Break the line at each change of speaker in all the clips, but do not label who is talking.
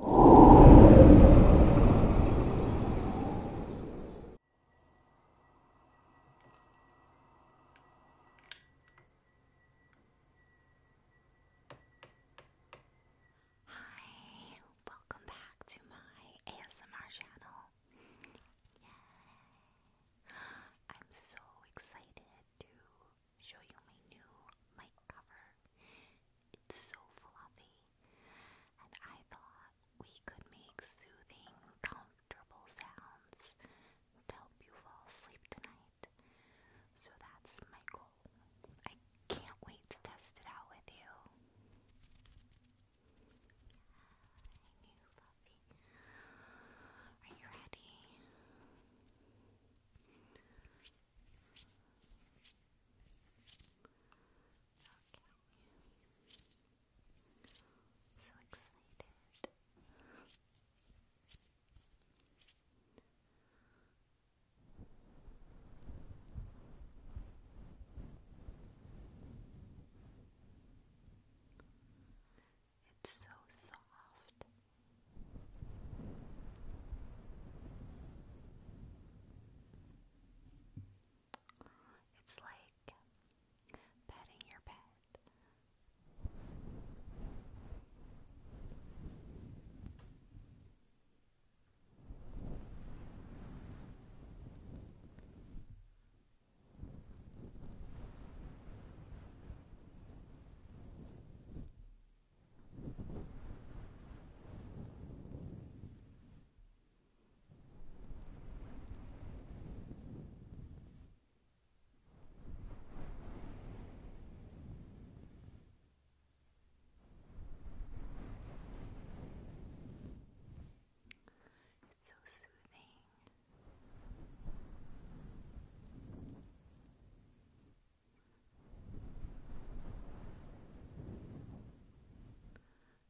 Hi, welcome back to my ASMR channel. I'm so excited to show you my new mic cover. It's so fluffy, and I thought we could make soothing, comfortable sounds to help you fall asleep tonight. So that's my goal. I can't wait to test it out with you. Are you ready? So excited. It's so soft. It's like petting your pet. It's so soothing.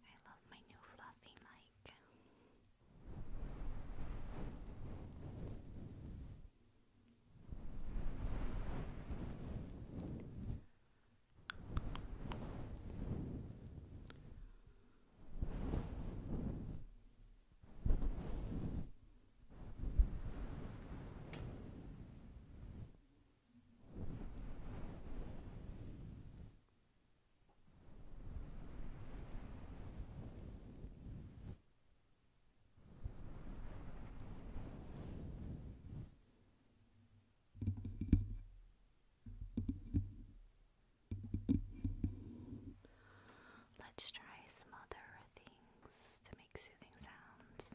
I love my new fluffy mic. Let's try some other things to make soothing sounds.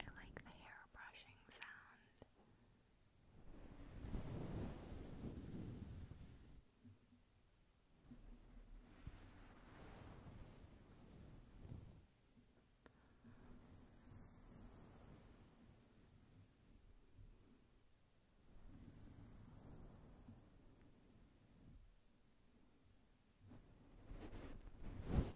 I like the hair brushing sound. That's so soothing. Good.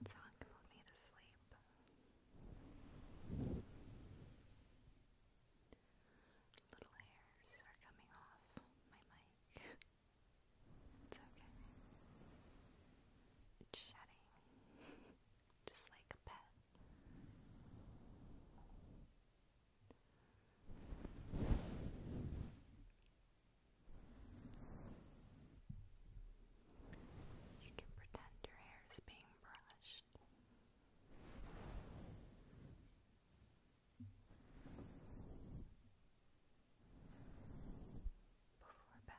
That song can put me to sleep. Little hairs are coming off my mic. it's okay. shedding, just like a pet. You can pretend your hair is being brushed. Before bed.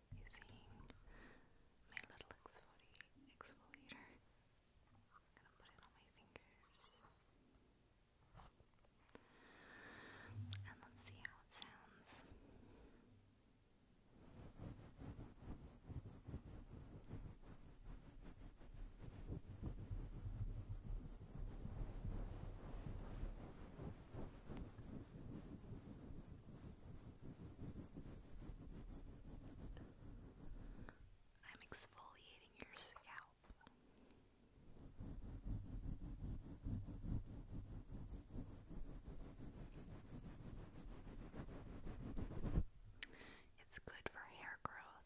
using my little exfoliator. I'm gonna put it on my fingers. And let's see how it sounds. I'm exfoliating your scalp. It's good for hair growth.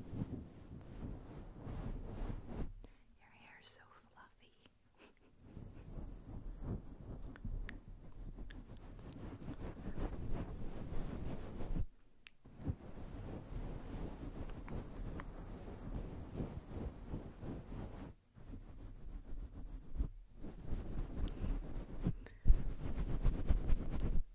Your hair is so fluffy.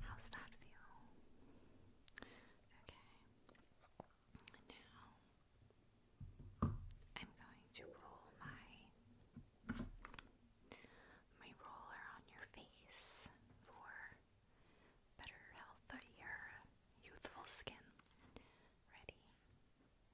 How's that feel? Okay. Now I'm going to roll my my roller on your face for better health youthful skin. Ready?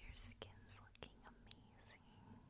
Your skin's looking amazing.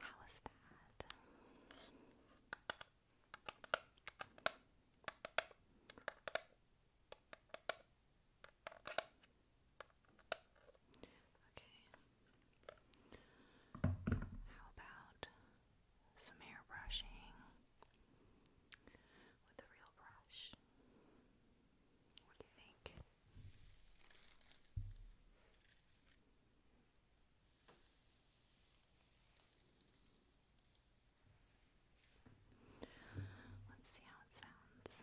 How was that? Okay. How about some hair with a real brush? What do you think? Let's see how it sounds.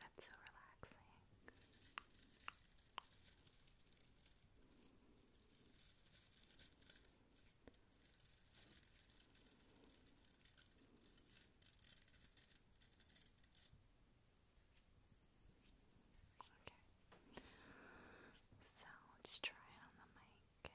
That's so relaxing. Okay. So let's try it on the mic.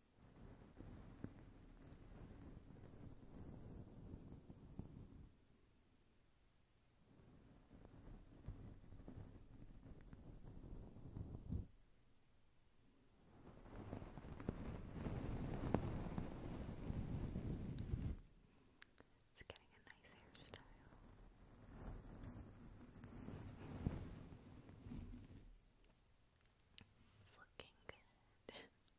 It's getting a nice hairstyle. It's looking good.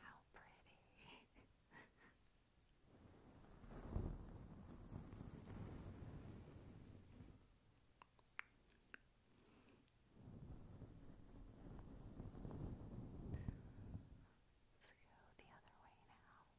How pretty. Let's go the other way now.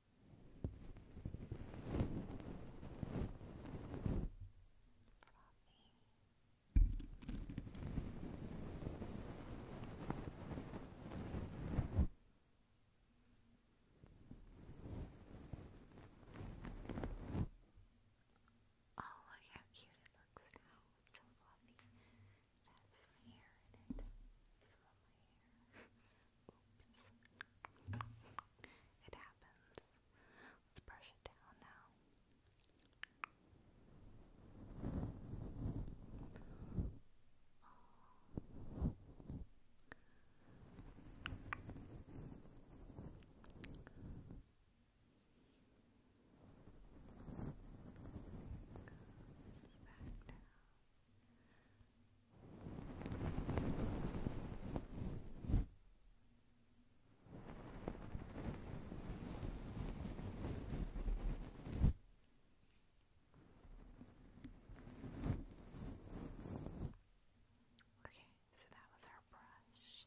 Oh, look how cute it looks now. It's so fluffy. That's my hair in it. It's my hair. Oops. It happens. Let's brush it down now. Oh. Goes back down. Okay, so that was our brush.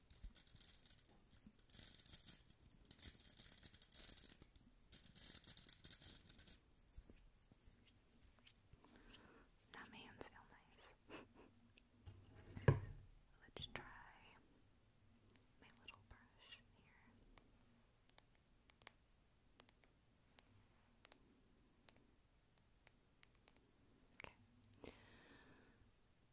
Now my hands feel nice. Let's try my little brush here. Okay.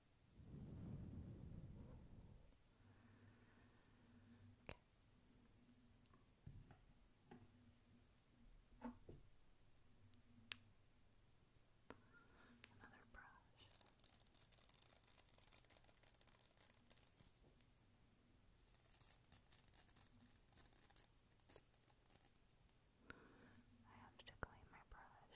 Okay. Another brush. I have to clean my brush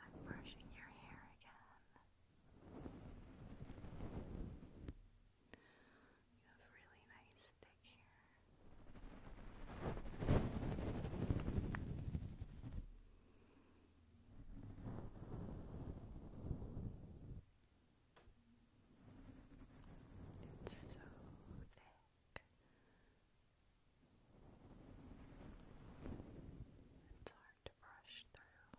I'm brushing your hair again. You have really nice thick hair. It's so thick. It's hard to brush through.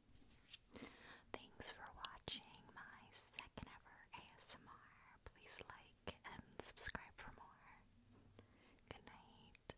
Thanks for watching my second ever ASMR. Please like and subscribe for more. Good night.